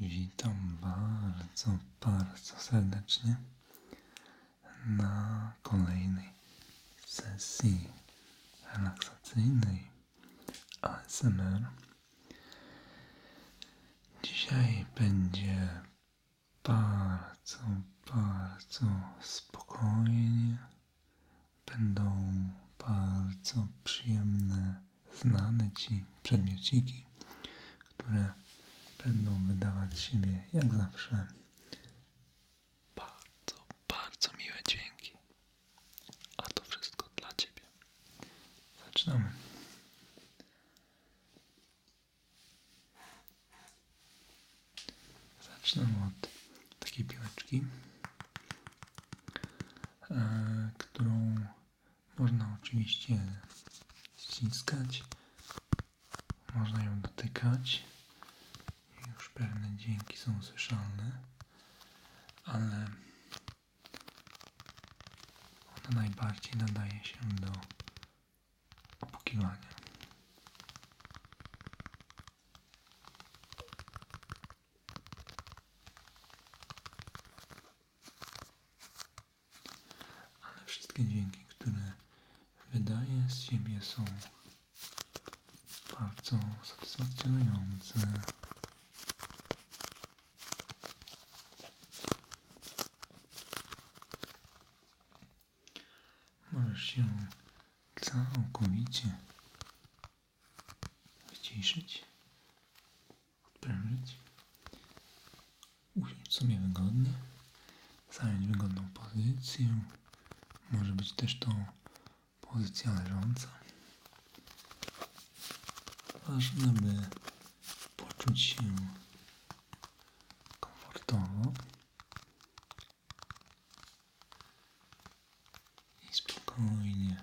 Witam bardzo, bardzo serdecznie na kolejnej sesji relaksacyjnej ASMR. Dzisiaj będzie bardzo, bardzo spokojnie. Będą bardzo przyjemne znane Ci przedmiociki, które będą wydawać siebie jak zawsze bardzo, bardzo miłe dźwięki. A to wszystko dla Ciebie. Zaczynamy. Zaczynamy od takiej piłeczki, e, którą można oczywiście ściskać, można ją dotykać. Już pewne dźwięki są słyszalne, ale ona najbardziej nadaje się do opukiwania. Ale wszystkie dźwięki, które wydaje z siebie są bardzo satysfakcjonujące. Możesz się całkowicie wyciszyć, odprężyć, usiąść sobie wygodnie, zająć wygodną pozycję, może być też to pozycja leżąca. Ważne, by poczuć się komfortowo i spokojnie.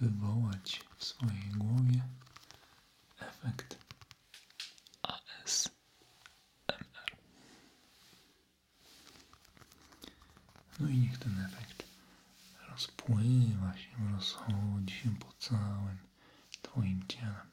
wywołać w swojej głowie efekt ASMR. No i niech ten efekt rozpływa się, rozchodzi się po całym Twoim ciele.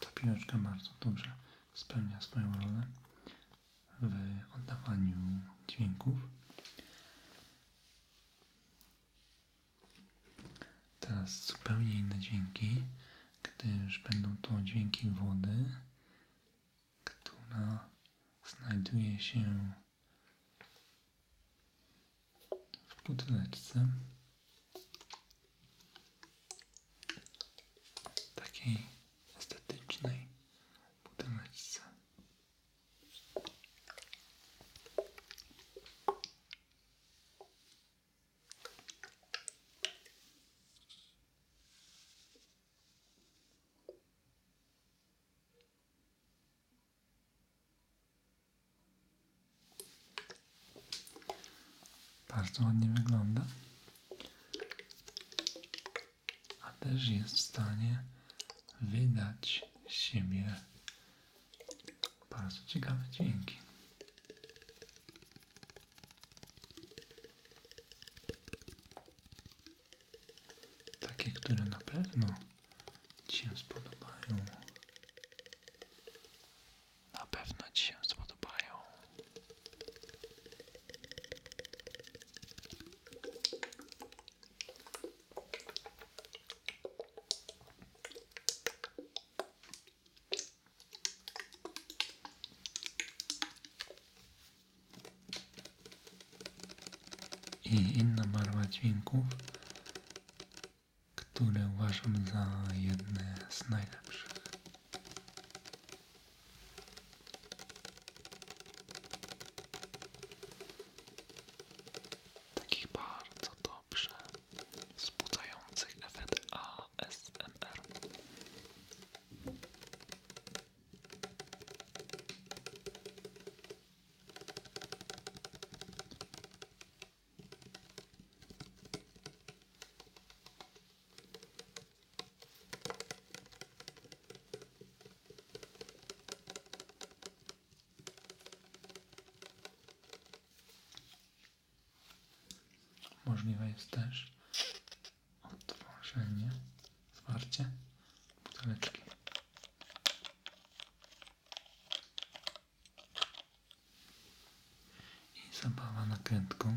Ta piłeczka bardzo dobrze spełnia swoją rolę w oddawaniu dźwięków. Teraz zupełnie inne dźwięki, gdyż będą to dźwięki wody, która znajduje się w buteleczce. Takiej estetycznej buteleczce. Bardzo wygląda. A też jest w stanie wydać siebie bardzo ciekawe dźwięki. Takie, na pewno Ci się Na pewno Ci się spodobają i inna barwa dźwięków, które uważam za jedne z najlepszych. Takich bardzo to dobrze wzbudzających efekt Możliwe jest też otworzenie, zwarcie buteleczki. I zabawa nakrętką.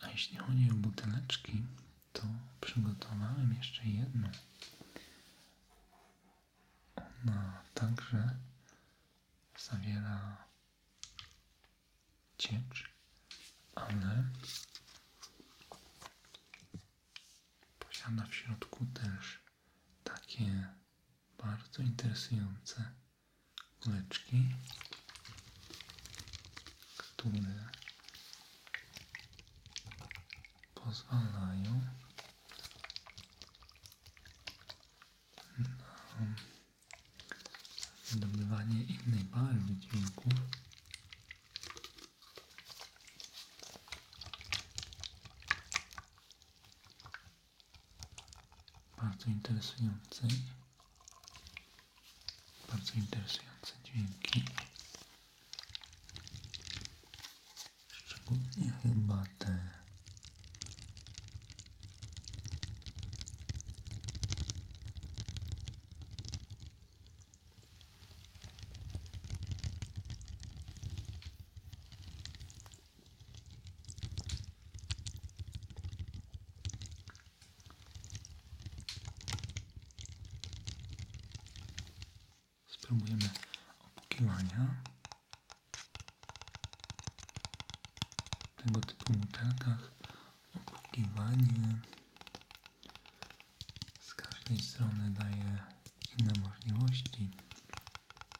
A jeśli chodzi o buteleczki, to przygotowałem jeszcze jedną. Ona także zawiera ciecz, ale posiada w środku też takie bardzo interesujące kuleczki, które pozwalają na wydobywanie innej barwy dźwięków. Bardzo interesujący. Bardzo interesujące dźwięki. Szczególnie chyba te Spróbujemy opukiwania. Tego typu butelkach opukiwanie z każdej strony daje inne możliwości.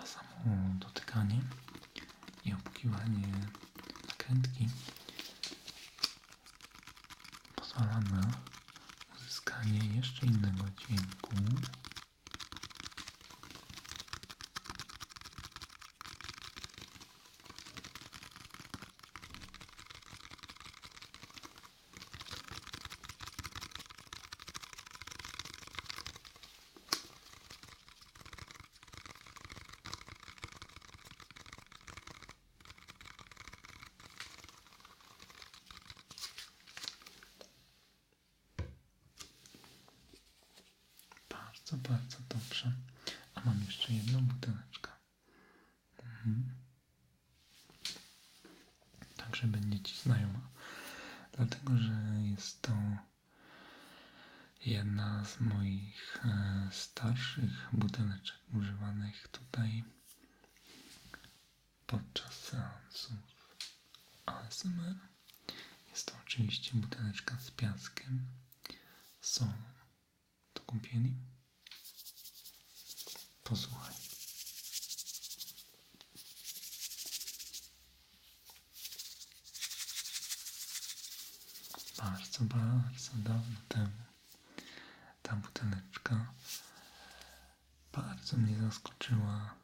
A samo dotykanie i obkiwanie nakrętki pozwala na uzyskanie jeszcze innego dźwięku. Bardzo, bardzo dobrze. A mam jeszcze jedną buteleczkę. Mhm. Tak, żeby nie ci znajoma. Dlatego, że jest to jedna z moich e, starszych buteleczek używanych tutaj podczas seansów ASMR. Jest to oczywiście buteleczka z piaskiem, solą to kąpieli? Posłuchaj. Bardzo, bardzo dawno temu ta buteleczka bardzo mnie zaskoczyła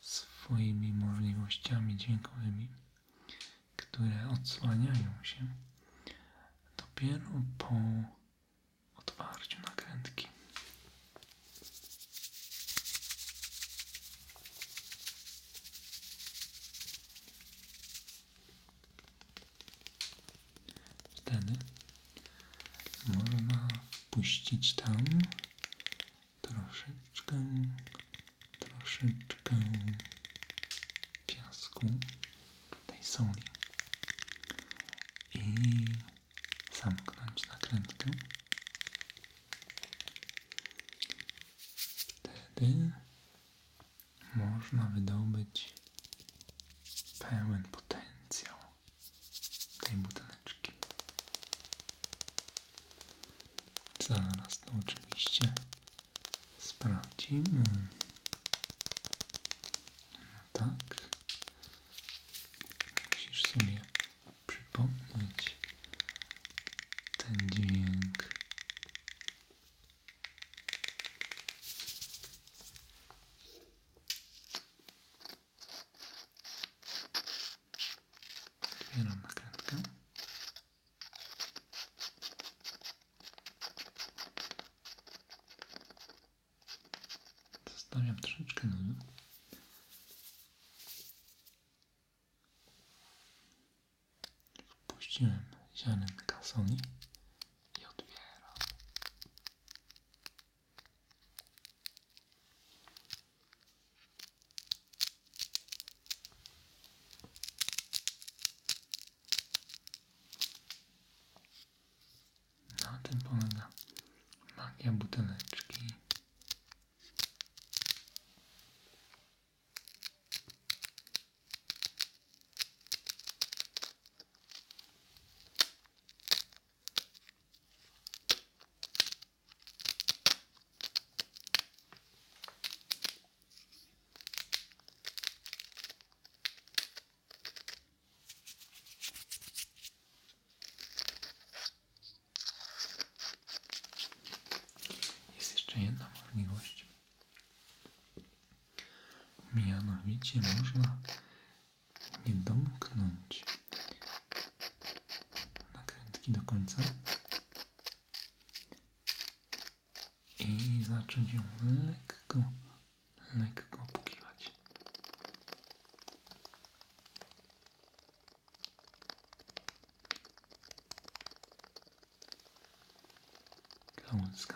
swoimi możliwościami dźwiękowymi, które odsłaniają się dopiero po otwarciu nakrętki. Wtedy można wpuścić tam troszeczkę, troszeczkę piasku tej soli i zamknąć nakrętkę. Wtedy można wydobyć pełen potencjał tej buteleczki. Zaraz to oczywiście Sprawdzimy. Mm. Tak. Musisz sobie przypomnieć ten dźwięk. Otwieram Zostawiam troszeczkę luzu. No. Wpuściłem ziarenka soli i otwieram. Na no, tym polega magia buteleczki. Jest jeszcze jedna możliwość. Mianowicie można nie domknąć nakrętki do końca, i zacząć ją lekko, lekko pokiwać.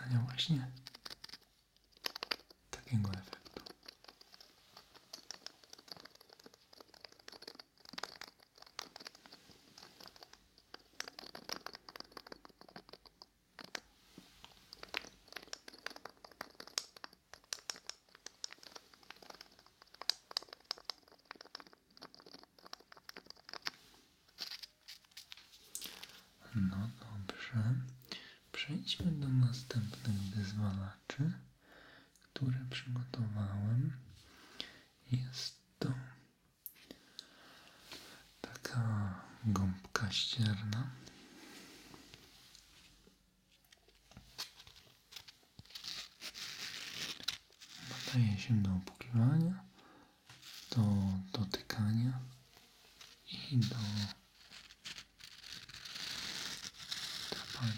Dla właśnie takiego efektu. No dobrze, przejdźmy do następnych wyzwalaczy, które przygotowałem. Jest to taka gąbka ścierna. Nadaje się do opłukiwania, do dotykania i do trapania.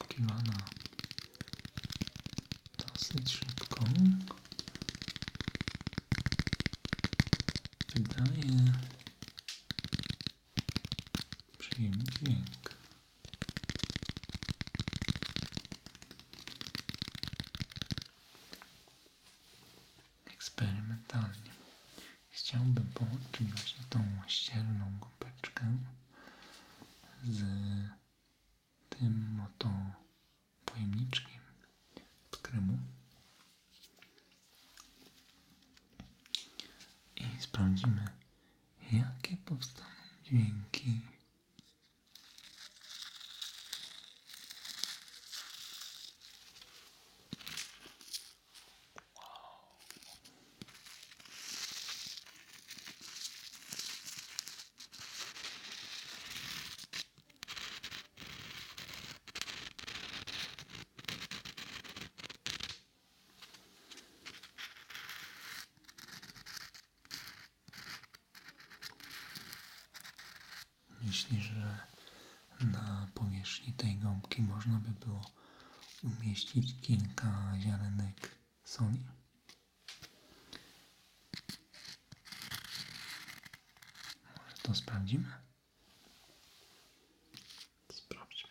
obkiwana dosyć szybko. Wydaje przyjemny dźwięk. Eksperymentalnie chciałbym połączyć właśnie tą ścierną gąbeczkę z tym oto pojemniczkiem od kremu i sprawdzimy jakie powstaną dźwięki Myślisz, że na powierzchni tej gąbki można by było umieścić kilka ziarenek soli. Może to sprawdzimy? Sprawdźmy.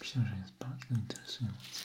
Myślę, że jest bardzo interesujące.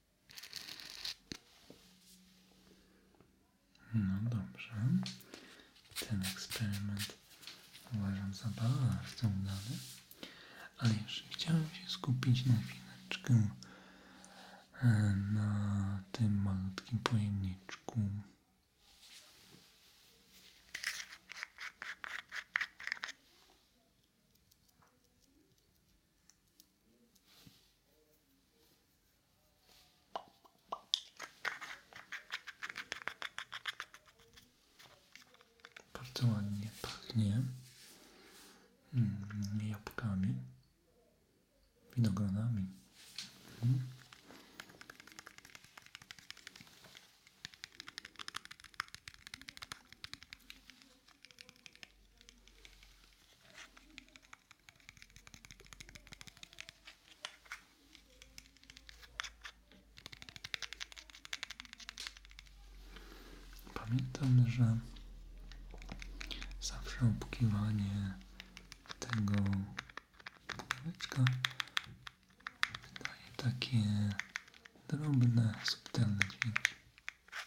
No dobrze. Ten eksperyment uważam za bardzo udany. Ale jeszcze chciałem się skupić na chwileczkę e, na tym malutkim pojemniczku. Bardzo ładnie pachnie mm, jabłkami, winogronami. Mm. Pamiętam, że zawsze obkiwanie tego pudełeczka daje takie drobne, subtelne dźwięki.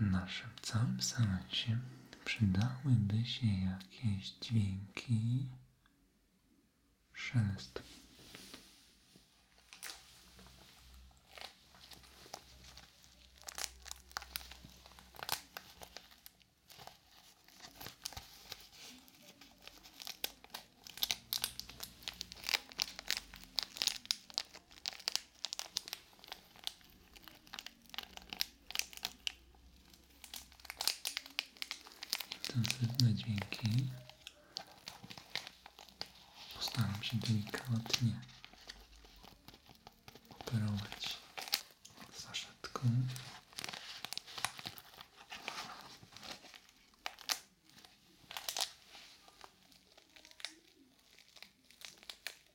w naszym całym seansie przydałyby się jakieś dźwięki szelestu intensywne dźwięki. Postaram się delikatnie operować saszetką.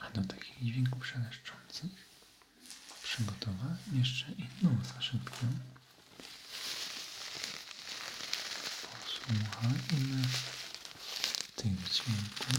A do takich dźwięków szeleszczących przygotowałem jeszcze inną zasypkę. Posłuchajmy tych dźwięków.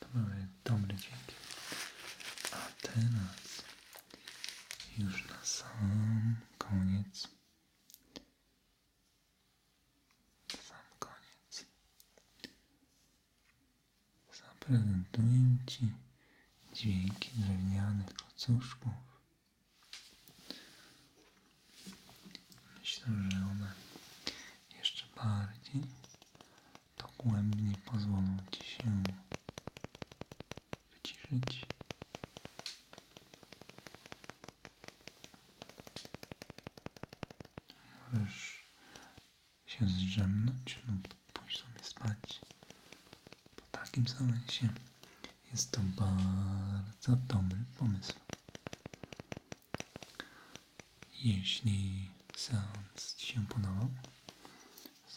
Dobry, były dobre dźwięki. A teraz już na sam koniec. Sam koniec. Zaprezentuję Ci dźwięki drewnianych kocuszków Myślę, że one jeszcze bardziej to dogłębnie pozwolą Ci się wyciszyć. Możesz się zdrzemnąć lub pójść sobie spać po takim seansie, jest to bardzo dobry pomysł. Jeśli seans Ci się podobał,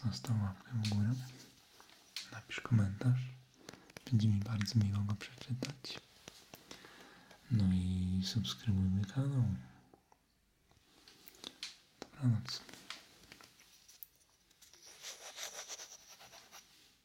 zostaw łapkę w górę, napisz komentarz, będzie mi bardzo miło go przeczytać. No i subskrybujmy kanał. Dobranoc.